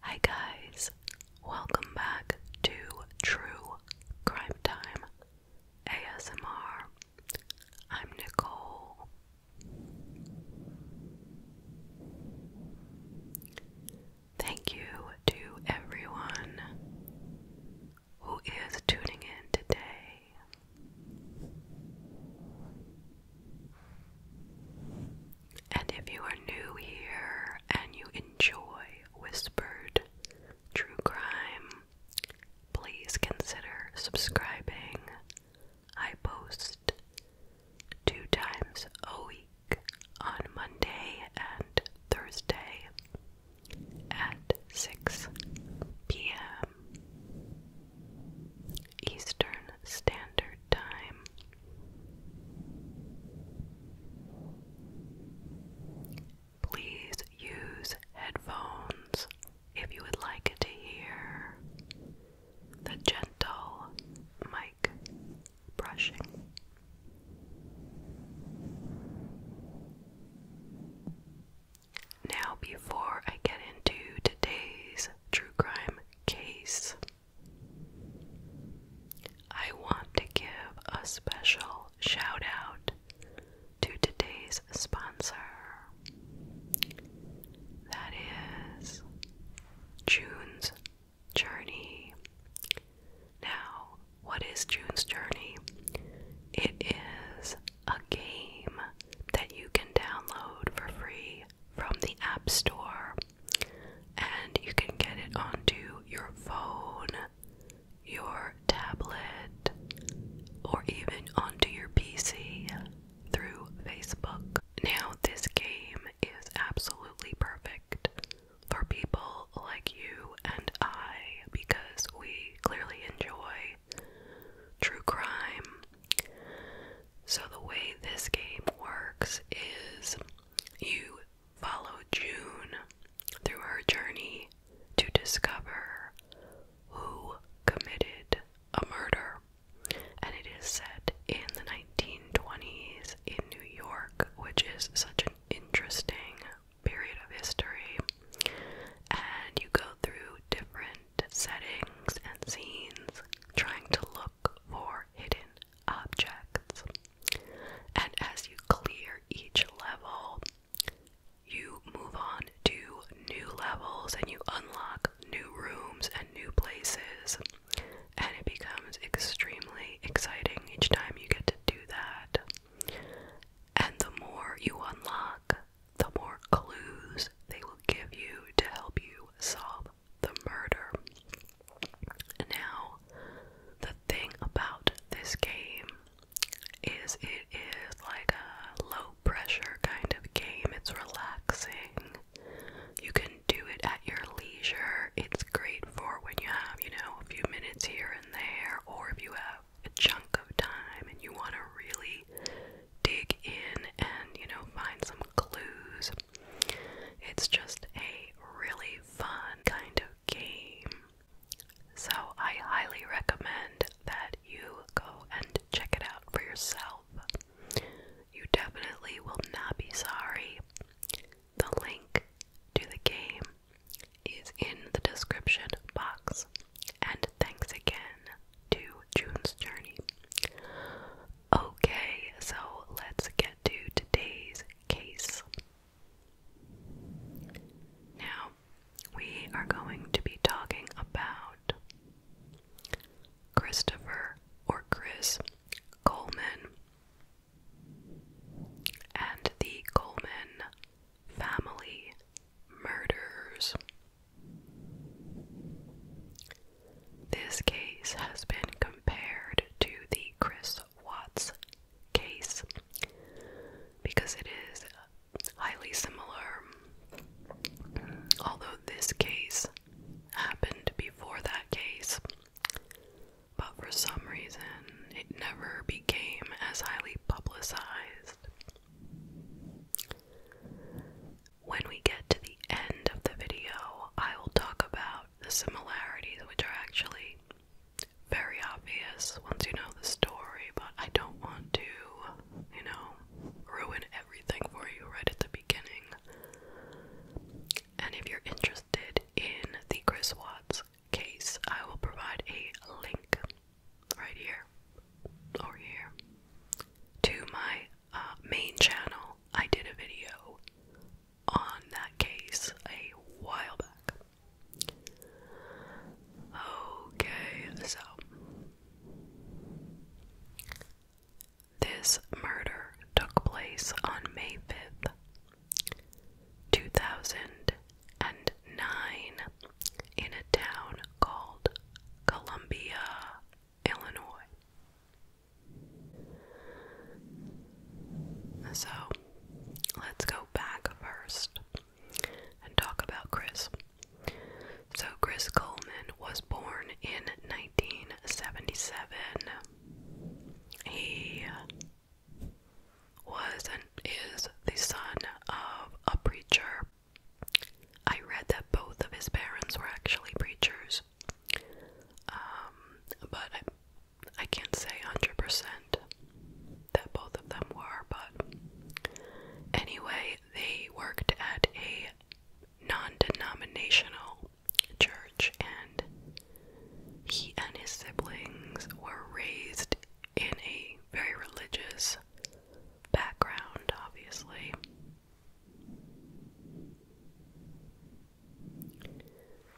Hi guys, welcome back to True Crime Time ASMR. I'm Nicole. Thank you to everyone who is tuning in today. And if you are new here and you enjoy whispered true crime, please consider subscribing. I post two times a week on Monday and Thursday at 6 p.m. Eastern Standard time. Please use headphones if you would like to hear the gentle mic brushing. Now, before I get into today's true crime case, I want to give a special shout out to today's sponsor. That is June's Journey. Now, what is June's Journey? It is a game that you can download for free from the App Store and you can get it onto your phone, your tablet, or even onto your PC through Facebook. Now, this game is absolutely perfect for people like you and I because we clearly enjoy true crime. So, the way this game works is you follow June through her journey to discover who committed a murder. And it is set in the 1920s in New York, which is such an interesting period of history. And you go through different settings and scenes trying to look for hidden objects. And as you clear each level, you move on to new levels and you unlock new rooms and new places. And it becomes extremely exciting each time you get to do that. And the more you unlock, the more clues they will give you to help you solve the murder. Now, the thing about this game is it is like a low pressure kind of game. It's relaxing. You can do it at your leisure. It's great for when you have, you know, a few minutes here and there, or if you have a chunk of time and you want to really dig in and, you know, find some clues it's just a really fun kind of game. So I highly recommend that you go and check it out for yourself. You definitely will not be sorry. The link to the game is in the description box. And thanks again to June's Journey. Okay, so let's get to today's case. Now, we are going to be talking about Christopher or Chris Coleman and the Coleman family murders. This case has been compared to the Chris Watts case because it is highly similar, although this case happened before that case. But for some reason, it never became as highly publicized. When we get to the end of the video, I will talk about the similarities, which are actually very obvious once you know the story, but I don't want to, you know, ruin everything for you right at the beginning. And if you're interested in the Chris Watts case, I will provide a link right here or here to my uh, main channel. I did a video on that case a while back. Okay, so this murder took place on May 5th, 2009, in a town called Columbia, Illinois. So let's go back first and talk about Chris. So, Chris Coleman was born in 1977. He was and is the son of a preacher. I read that both of his parents were actually preachers. Um, but I can't say 100% that both of them were, but anyway, they worked at a non denominational church, and he and his siblings were raised in a very religious background, obviously.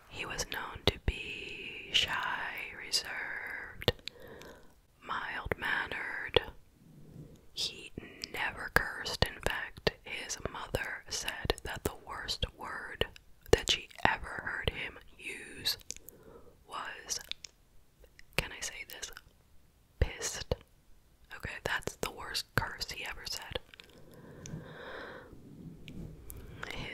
He was known to be shy, reserved, mild mannered. He never cursed. In fact, his mother said that the worst word that she ever heard him use was can I say this? Pissed. Okay, that's the worst worst he ever said.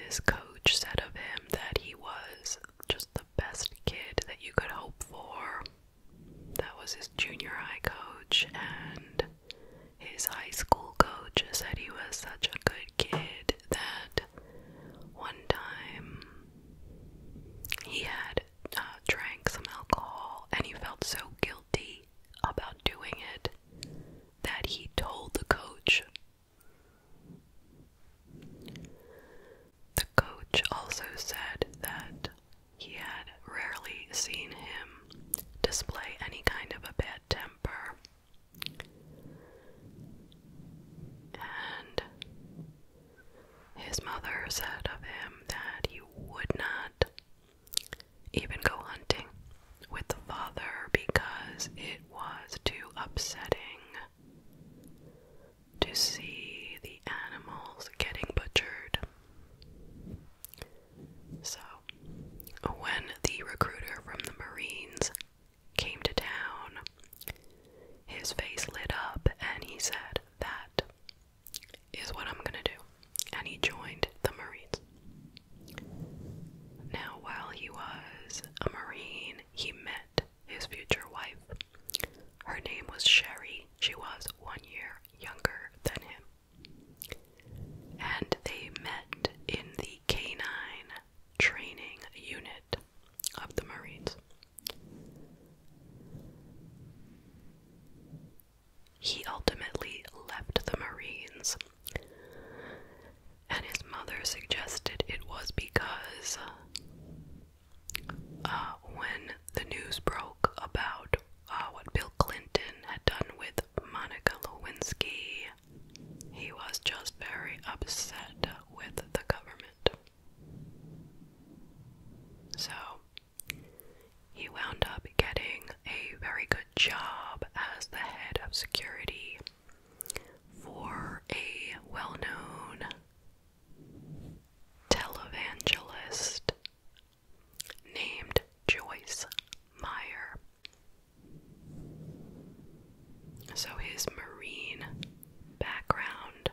His coach said of him that he was just the best kid that you could hope for. That was his junior high coach, and his high school coach said he was such a good kid that one time he had uh, drank some alcohol and he felt so guilty about doing it that he told the coach. The coach also said that he had rarely seen him display any kind of a bad temper. And his mother said of him that he would not even go hunting with the father because it was too upsetting to see the animals getting butchered. So, when the recruiter from the Marines came to town, his face lit up and he said, That is what I'm gonna do and he joined the Marines. Now, while he was a Marine, he met his future wife. Her name was Sherry. She was one year younger than him. And they met in the canine training unit of the Marines. He ultimately left the Marines, and his mother suggested it was because uh, when the news broke about uh, what Bill Clinton had done with Monica Lewinsky, he was just very upset with the government. So, he wound up getting a very good job as the head of security for a well known televangelist named Joyce Meyer. So his marine background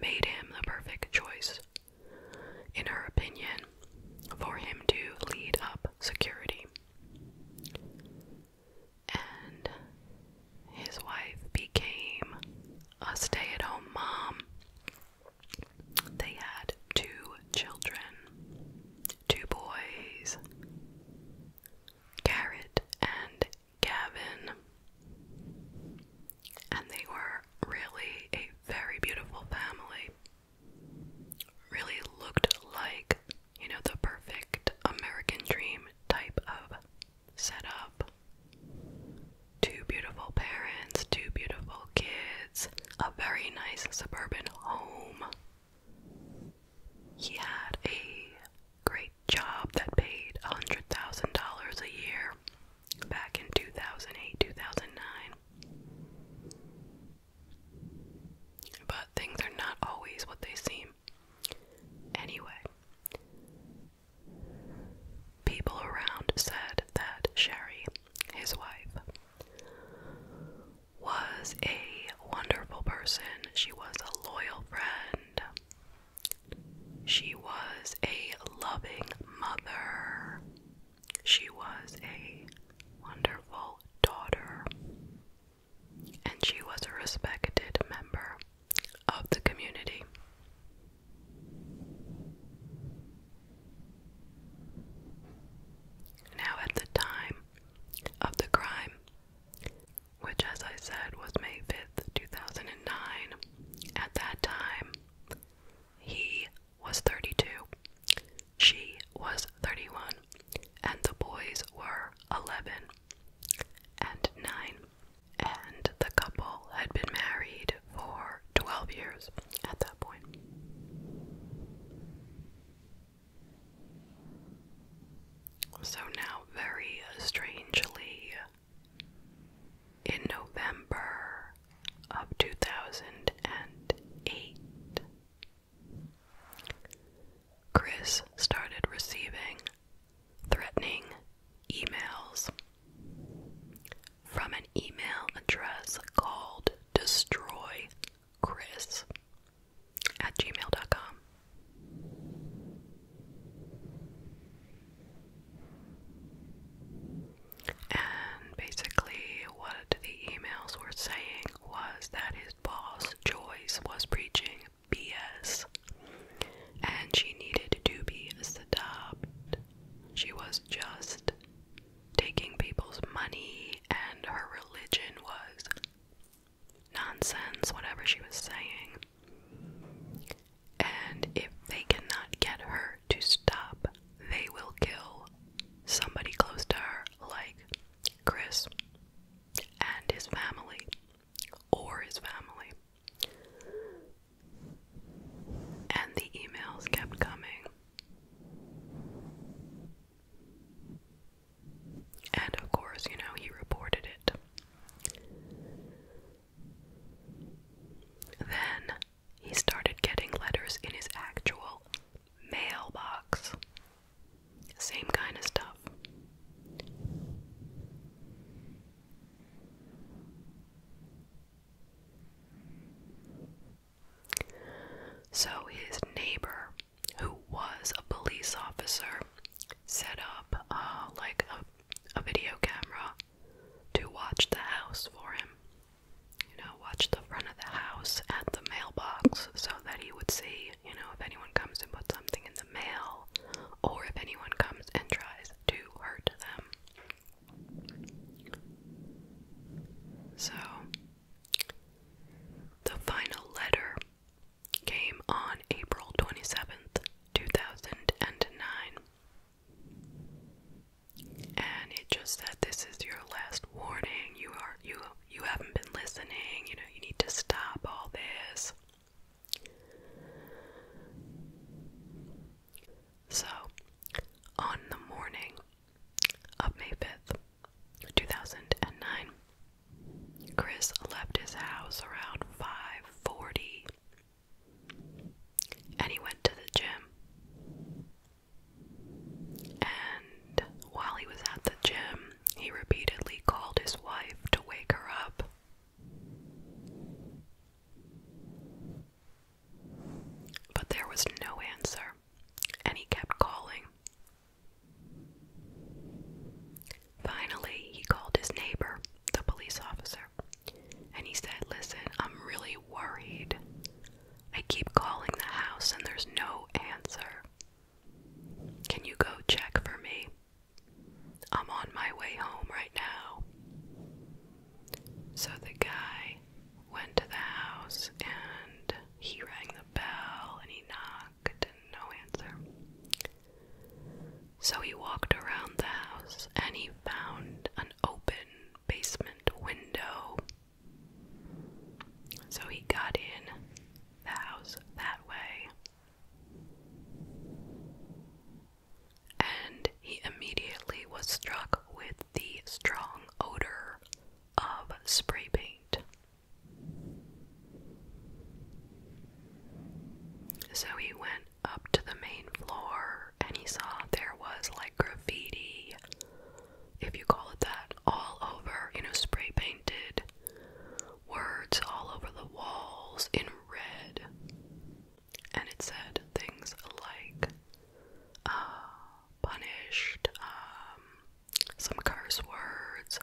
made him the perfect choice, in her opinion, for him to lead up security. And his wife became a stay at home mom. They had two children, two boys, Garrett and Gavin. And they were really a very beautiful family really looked like, you know, the perfect American dream type of setup. Two beautiful parents, two beautiful kids, a very nice suburban home. He had a great job that paid $100,000 a year back in 2008 2009. But things are not always what they seem. Anyway, people around said that Sherry, his wife, was a wonderful person. She was a loyal friend. She was a loving mother. She was a wonderful daughter, and she was a respected member of the community. Now, at the time of the crime, which as I said was May 5th, 2009, at that time, he was 32, she was 31, and the boys were 11 and 9. And the couple had been married for 12 years at that point. So now, very strangely, in November of 2008, Chris started receiving threatening emails from an email address called destroy chris at gmail.com and basically what the emails were saying was that his boss, Joyce, was preaching BS and she needed to be stopped. She was just taking people's money, and her religion was nonsense, whatever she was saying. And if they cannot get her to stop, they will kill somebody close to her, like Chris and his family, or his family. And the emails kept coming. And of course, you know, he reported it. Then he started getting letters in his actual mailbox. Same kind of stuff. So his neighbor, who was a police officer, set up uh, like a video camera to watch the house for him you know, watch the front of the house at the mailbox so that he would see, you know, if anyone comes and puts something in the mail or if anyone comes and tries to hurt them. So, the final letter came on April 27th, 2009. And it just said, "This is your last warning. You are you you haven't been listening, you know, you need to stop all this. So, on the morning of May 5th, 2009, Chris left his house around 5:40 and he went to the gym. And while he was at the gym, he repeatedly called his wife to wake her up. But there was no answer, and he kept calling. Finally, he called his neighbor, the police officer, and he said, Listen, I'm really worried. I keep calling the house and there's no answer. Can you go check for me? I'm on my way home right now. So the guy went to the house and he rang the bell and he knocked and no answer. So he walked around the house and he found an open basement window so he got in the house that way. And he immediately was struck with the strong odor of spray paint. So he went up to the main floor and he saw there was like graffiti if you call it that, all over, you know, spray painted words all over the walls in red. And it said things like uh, punished, um, some curse words.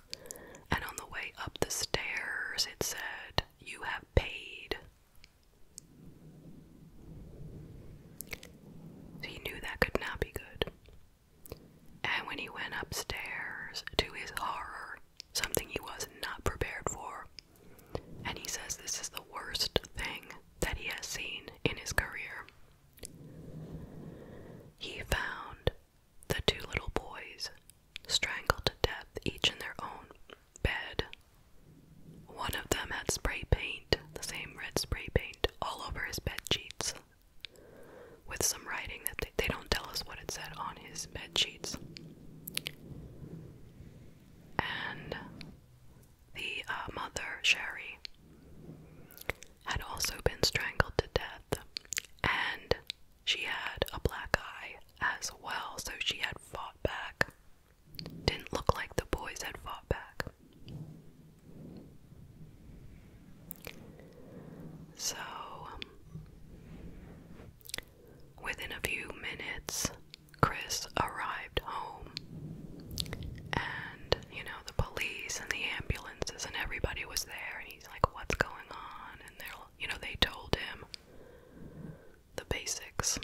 And on the way up the stairs, it said, You have paid. So you knew that could not be good. And when he went upstairs, to his horror, something he was not prepared for, and he says this is the worst thing that he has seen in his career. He found the two little boys strangled to death, each in their own bed. One of them had spray paint, the same red spray paint, all over his bed sheets with some writing that they, don't tell us what it said on his bed sheets. And the uh, mother, Sherry, had also been strangled to death, and she had a black eye as well, so she had fought back. Didn't look like the boys had fought back. So, um, within a few minutes, Chris arrived home, and you know, the police and the ambulances and everybody was there, and he's like, What's going on? And they're, you know, they told him the basics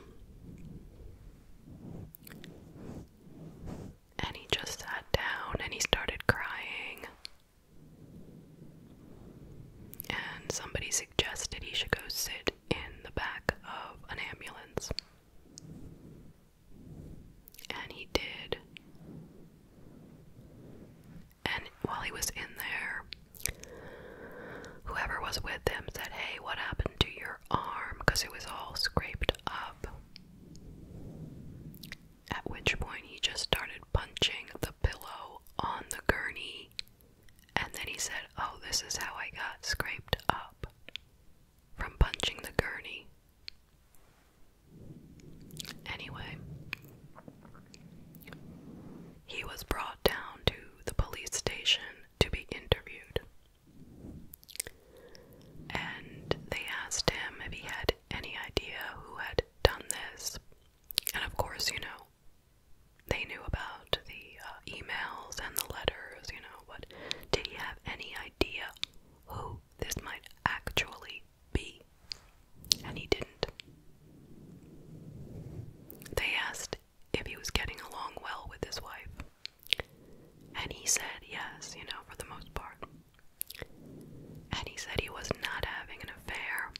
and he just sat down and he started crying. And somebody suggested he should go sit in the back of an ambulance. And he did. And while he was in there, whoever was with him said, Hey, what happened to your arm? Because it was all scraped up. At which point, he just started punching the pillow on the gurney, and then he said, Oh, this is how I got scraped up from punching the gurney. Anyway, he was brought down to the police station to be interviewed and they asked him if he had any idea who had done this. And of course, you know, they knew about the uh, emails and the letters, you know, but did he have any idea who this might actually be? And he didn't. They asked if he was getting along well with his wife. And he said yes, you know, for the most part. And he said he was not having an affair,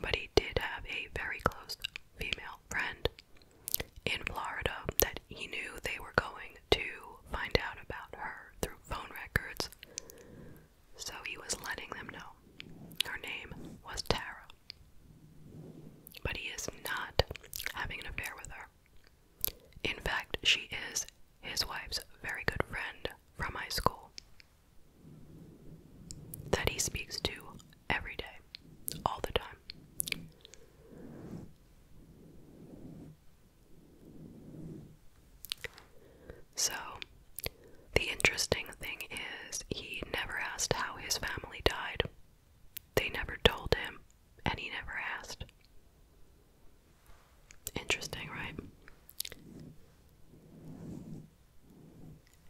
but he did have a very close female friend in Florida that he knew they were going to find out about her through phone records. So he was letting them know. Her name was Tara. But he is not having an affair with her. In fact, she is his wife's very good friend from high school that he speaks to every day, all the time. So, the interesting thing is, he never asked how his family died. They never told him and he never asked. Interesting, right?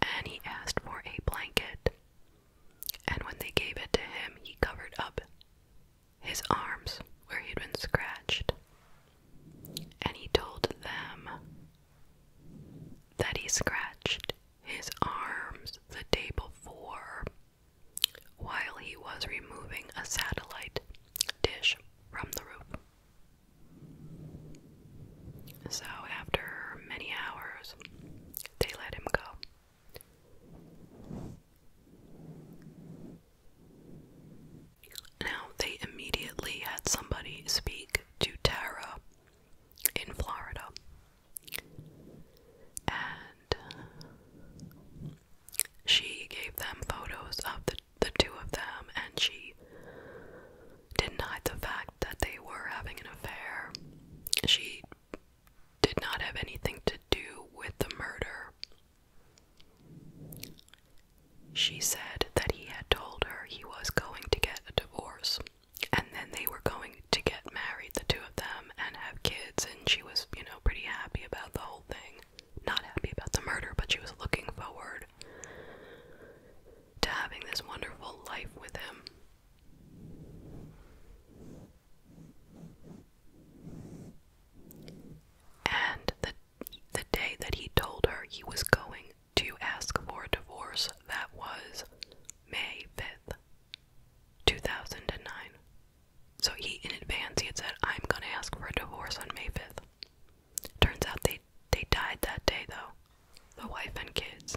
And he asked for a blanket. And when they gave it to him, he covered up his arms where he'd been scratched. And he told them that he scratched his arms the day before while he was removing a satellite dish from the roof. So, after many hours, they let him go. Now, they immediately had somebody speak to Tara in Florida. And she gave them photos of the, the two of them and she denied the fact that they were having an affair. She did not have anything to do with the murder. She said that he had told her he was going to get a divorce and then they were going to get married, the two of them, and have kids, and she was, you know, pretty happy about the whole thing not happy about the murder, but she was looking forward to having this wonderful life with him. And the the day that he told her he was going to ask for a divorce, that was May 5th, 2009. So he, in advance, he had said, I'm gonna ask for a divorce on May 5th. Turns out they, they died that day, though. The wife and kids.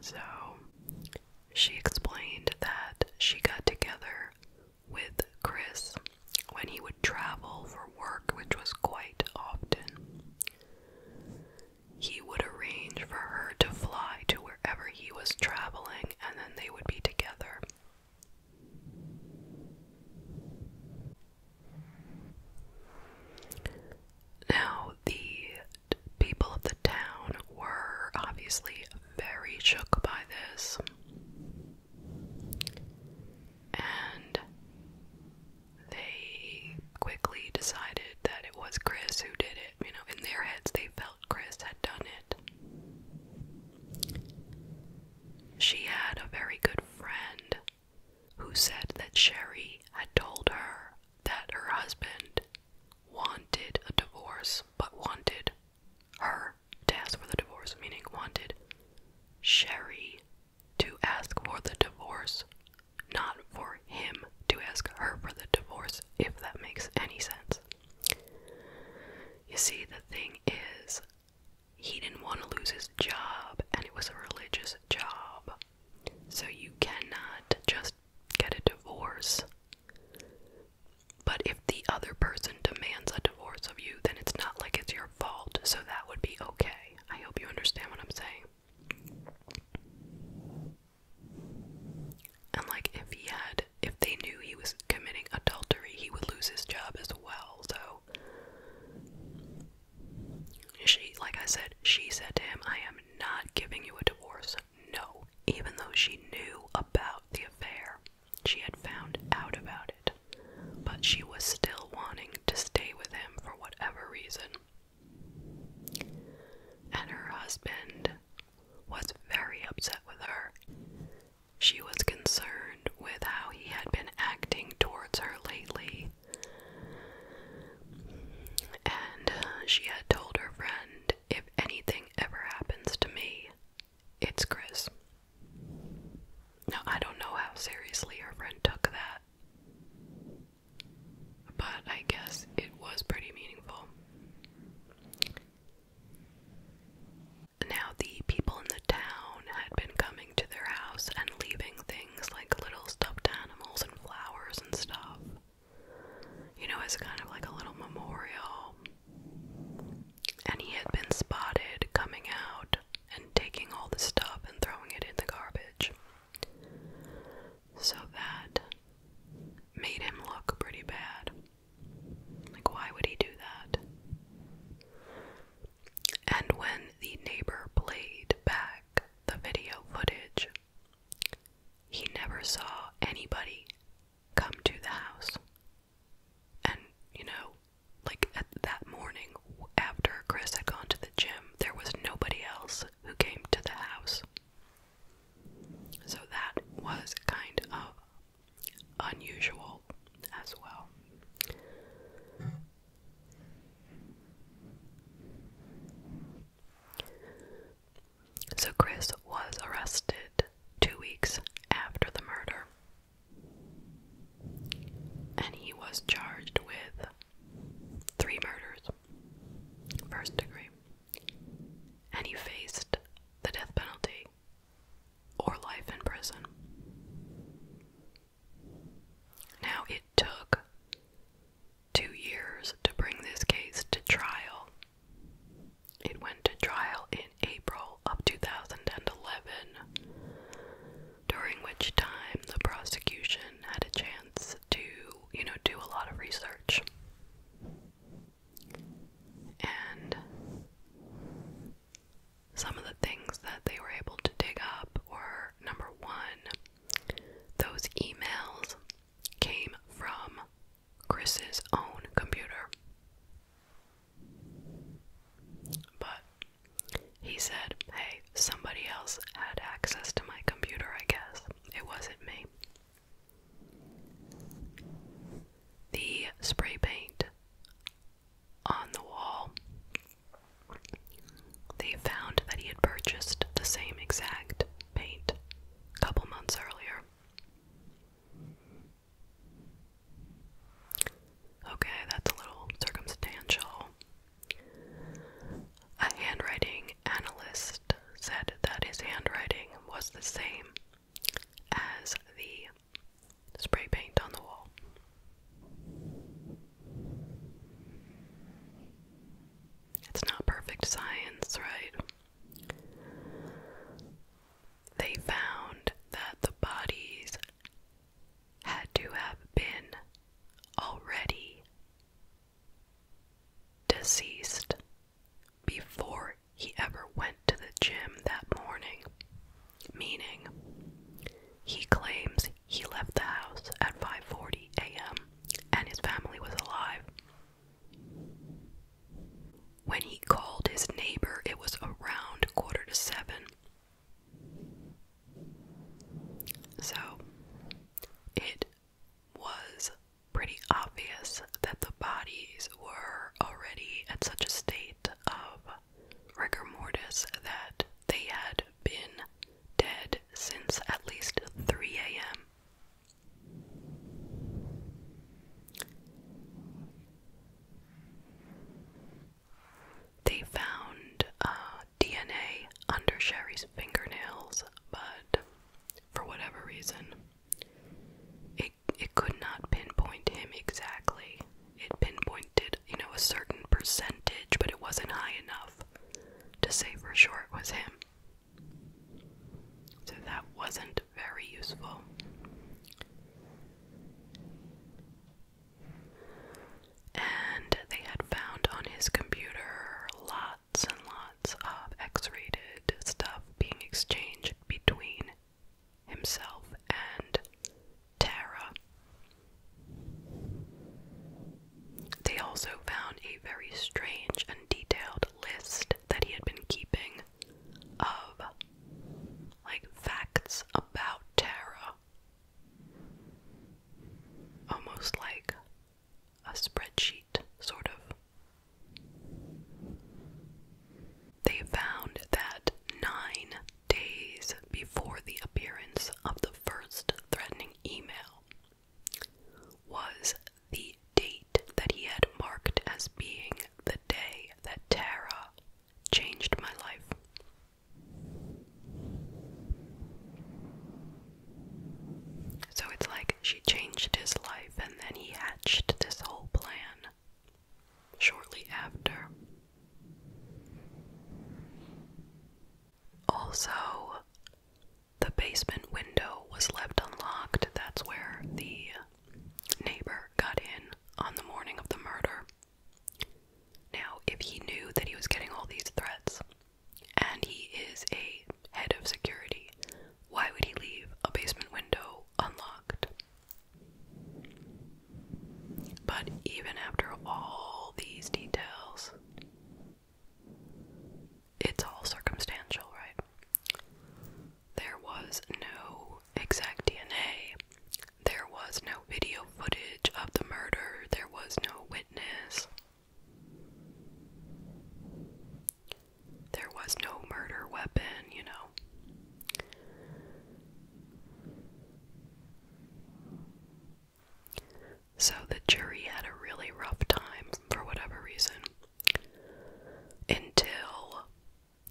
So, she explained that she got together with Chris when he would travel for work, which was quite often he would arrange for her to fly to wherever he was traveling and then they would be together. Now, the people of the town were obviously very shook by this. And they quickly decided that it was Chris who did you know, in their heads, they felt Chris had done it. She had a very good friend who said that Sherry had told her that her husband wanted a divorce, but wanted her to ask for the divorce, meaning wanted Sherry to ask for the divorce not for him to ask her for the divorce, if that makes any sense. You see, the thing is, he didn't want to lose his job, and it was a religious job. So you cannot just get a divorce. But if the other person demands a divorce of you, then it's not like it's your fault, so that would be okay. I hope you understand what I'm saying. And like if he had if they knew he was committing adultery, he would lose his job as well. So she like I said, she said to him, I am not giving you a divorce. No. Even though she knew about the affair. She had found out about it. But she was still wanting to stay with him for whatever reason and her husband was very upset with her. She was concerned with how he had been acting towards her lately, and she had told her friend, If anything ever happens to me, it's Chris. Now, I don't know how seriously her friend took that. But I guess it was pretty meaningful. Now, the people in the town had been coming to their house and leaving things like little stuffed animals and flowers and stuff. You know, as kind of like a little memorial. And he had been spotted coming out and taking all the stuff and throwing it in the garbage. So that made him look pretty bad. Like, why would he do that? And when the neighbor played back the video footage, he never saw anybody come to the house. And, you know, like at that morning after Chris had gone to the gym, there was nobody else who came to the house. So that was kind of unusual as well. So Chris was arrested two weeks after the murder. And he was charged with three murders, first degree and he faced the death penalty or life in prison. Now, it took two years to bring this case to trial. It went to trial in April of 2011, during which time the prosecution had a chance is to, you know, do a lot of research. And some of the things that they were able to dig up were number one, those emails came from Chris's own computer. But he said, hey, somebody else had access to my computer, I guess. It wasn't me. The spray paint on the wall. They found that he had purchased the same exact paint a couple months earlier. Okay, that's a little circumstantial. A handwriting analyst said that his handwriting was the same as the spray paint on the wall. It's not perfect science, right? They found that the bodies had to have been already deceased before he ever went to the gym that morning. Meaning, he claims he left the house at 5:40 a.m. and his family was alive. When he called his neighbor, it was around quarter to 7. So, it was pretty obvious that the bodies were already at such a state of rigor mortis that they had been dead since at least 3 a.m. They found uh, DNA under Sherry's fingernails, but for whatever reason. It it could not pinpoint him exactly. It pinpointed, you know, a certain percentage, but it wasn't high enough to say for sure it was him. So that wasn't very useful. And they had found on his computer lots and lots of X rated stuff being exchanged between himself and Tara. They also found a very strange and detailed list that he had been keeping of like facts about Tara. Almost like a spreadsheet, sort of. They found that nine days before the appearance of the first threatening email was the date that he had marked as being the day that Tara changed my life. So it's like she changed his life and then he hatched this whole plan shortly after. Also, the basement window was left unlocked. That's where the neighbor got in on the morning of the murder. Now, if he knew that he was getting all these threats, and he is a head of security. Why would he leave a basement window unlocked? But even after all these details, it's all circumstantial, right? There was no exact DNA. There was no video footage of the murder. There was no witness. There was no murder weapon, you know. So the jury had a really rough time for whatever reason. Until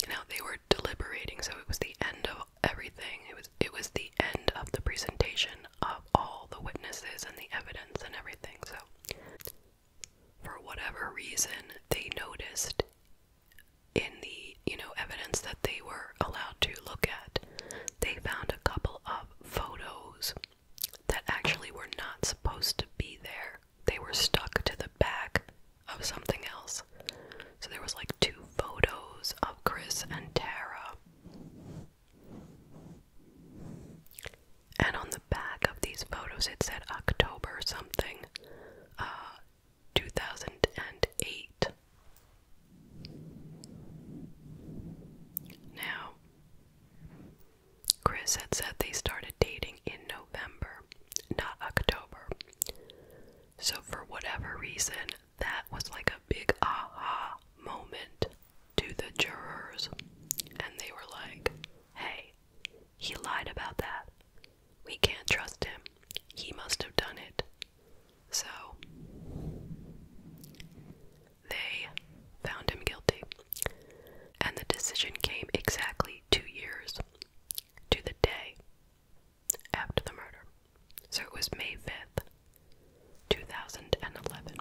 you know they were deliberating, so it was the end of everything. It was it was the end of the presentation of all the witnesses and the evidence and everything. So for whatever reason, they noticed in the, you know, evidence that they were allowed to look at, they found a couple of photos that actually were not supposed to be there. They were stuck to the back of something else. So there was like two photos of Chris and Tara. And on the back of these photos, it said October something, uh, 2008. Now, Chris had said they started dating in November, not October. So, for whatever reason, that was like a big aha moment to the jurors. And they were like, Hey, he lied about that. We can't trust him. He must have done it. So, they found him guilty. And the decision came exactly two years to the day after the murder. So it was May 5th, 2011.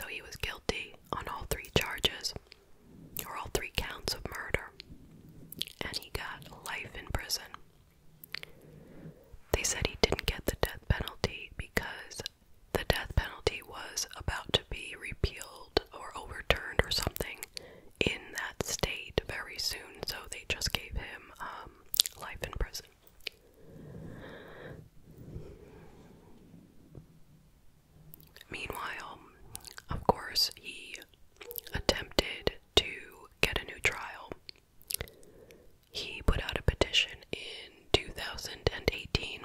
So he was guilty on all three charges, or all three counts of murder, and he got life in prison. They said he didn't get the death penalty because the death penalty was about to be repealed or overturned or something in that state very soon, so they just gave him um, life in prison. Meanwhile, of course, he attempted to get a new trial. He put out a petition in 2018.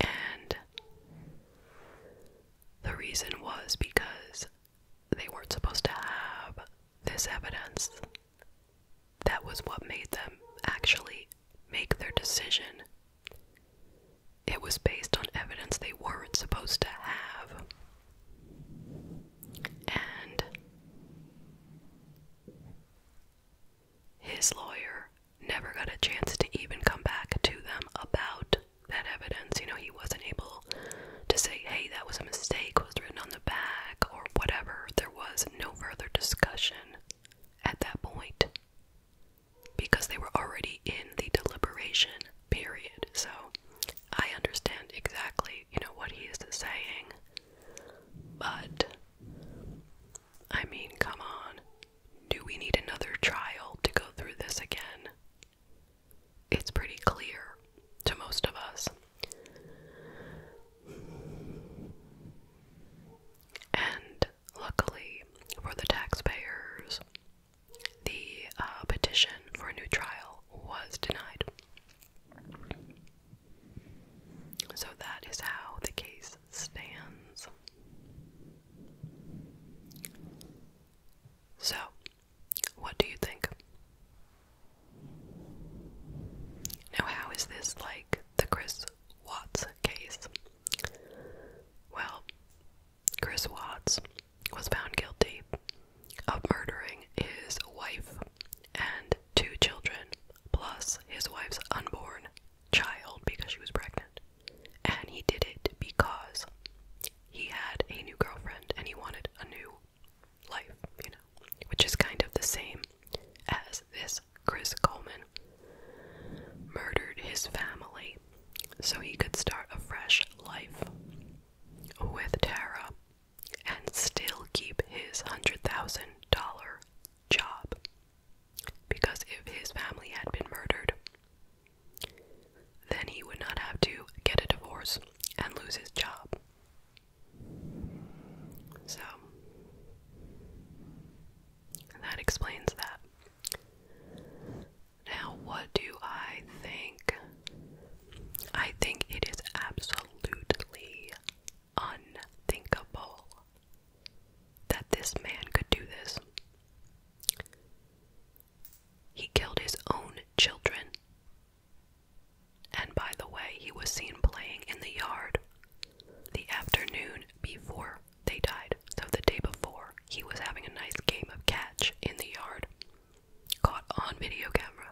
And the reason was because they weren't supposed to have this evidence that was what made them actually make their decision. It was based on evidence they weren't supposed to have. And his lawyer never got a chance to even come back to them about that evidence. You know, he wasn't able to say, hey, that was a mistake, was written on the back, or whatever. There was no further discussion at that point because they were already in the deliberation period. So I understand exactly, you know, what he is saying. But I mean, come on. Do we need another trial to go through this again? It's pretty clear to most of us and luckily for the taxpayers, the uh, petition for a new trial was denied. So that is how the case stands. So, what do you think? Now, how is this like the Chris Watts case? Well, Chris Watts was found guilty of murdering his wife and two children, plus his wife's unborn child because she was pregnant. And he did it because he had a new girlfriend and he wanted a new life, you know which is kind of the same as this Chris Coleman, murdered his family so he could start a fresh life with Tara and still keep his $100,000 job. Because if his family had been murdered, then he would not have to get a divorce and lose his job. So that explains that. Now, what do I think? I think it is absolutely unthinkable that this man could do this. He killed his own children and by the way, he was seen playing in the yard the afternoon before they died. So the day before, he was having a nice game of catch in the yard. Caught on video camera.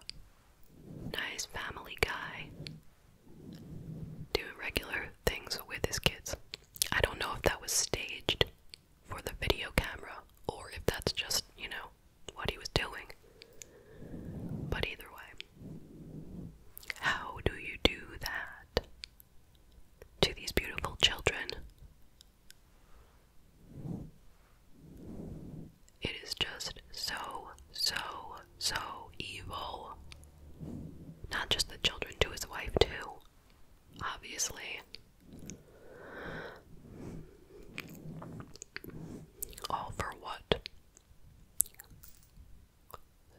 Nice family guy. Doing regular things with his kids. I don't know if that was staged for the video camera or if that's just, you know, what he was doing. But either way, how do you do that to these beautiful children? It is just so, so, so evil. Not just the children, to his wife, too. Obviously. All for what?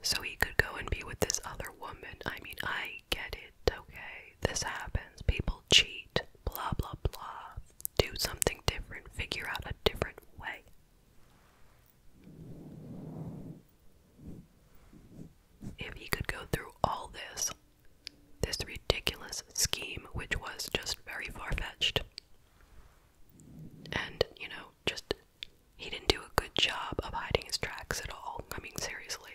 so he could go and be with this other woman. I mean, I get it, okay? This happens. People cheat, blah, blah, blah. Do something different, figure out a different way. If he could go through all this, this ridiculous scheme, which was just very far fetched, and, you know, just he didn't do a good job of hiding his tracks at all. I mean, seriously.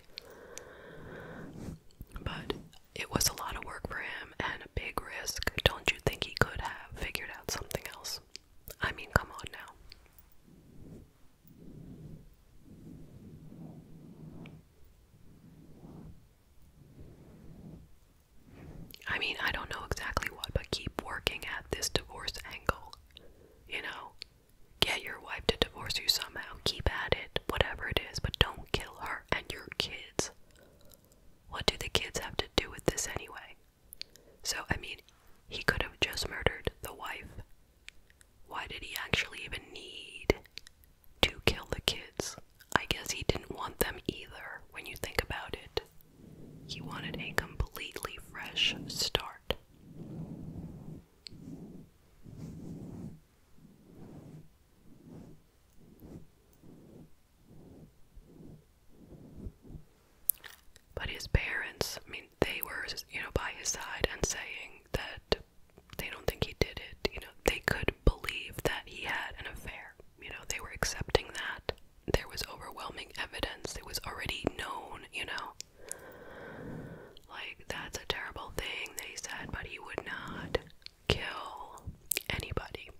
But it was a lot of work for him and a big risk. Don't you think he could have figured out something else? I mean, come on now. I mean, I don't know exactly what, but keep working at this divorce angle. You know, get your wife to divorce you somehow. Keep at it, whatever it is, but don't kill her and your kids. What do the kids have to do with this anyway? So, I mean, he could have just murdered the wife. Why did he actually even need to kill the kids? I guess he didn't want them either when you think about it. He wanted a completely fresh start. But his parents, I mean, they were, you know, by his side and saying that they don't think he did it. You know, they could believe that he had an affair. You know, they were accepting that there was overwhelming evidence. It was already known, you know. Like, that's a terrible thing, they said, but he would not kill anybody.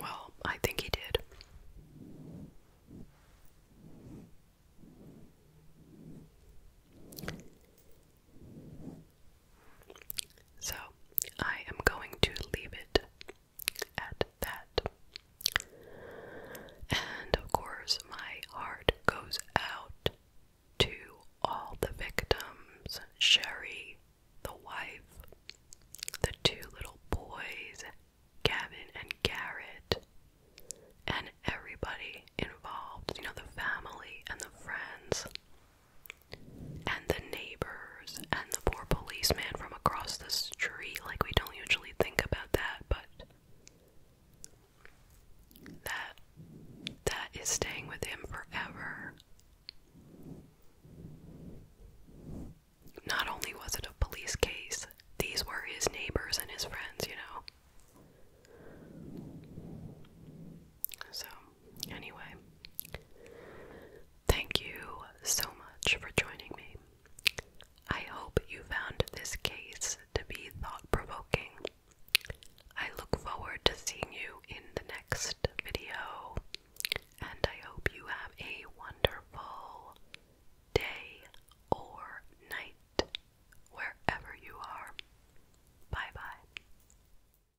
Well, I think he did. So I am going to leave it at that. And of course, my heart goes out to all the victims Sherry, the wife, the two little boys, Gavin and Garrett, and everybody involved you know, the family and the friends and the neighbors and the poor policeman from across the street. Like, we don't usually think about that, but that that is staying with him forever. Not only was it a police case, these were his neighbors and his friends, you know. So anyway, thank you so much for joining me. I hope you found this case to be thought provoking. I look forward to seeing you in the next video, and I hope you have a wonderful day or night wherever you are. Bye bye.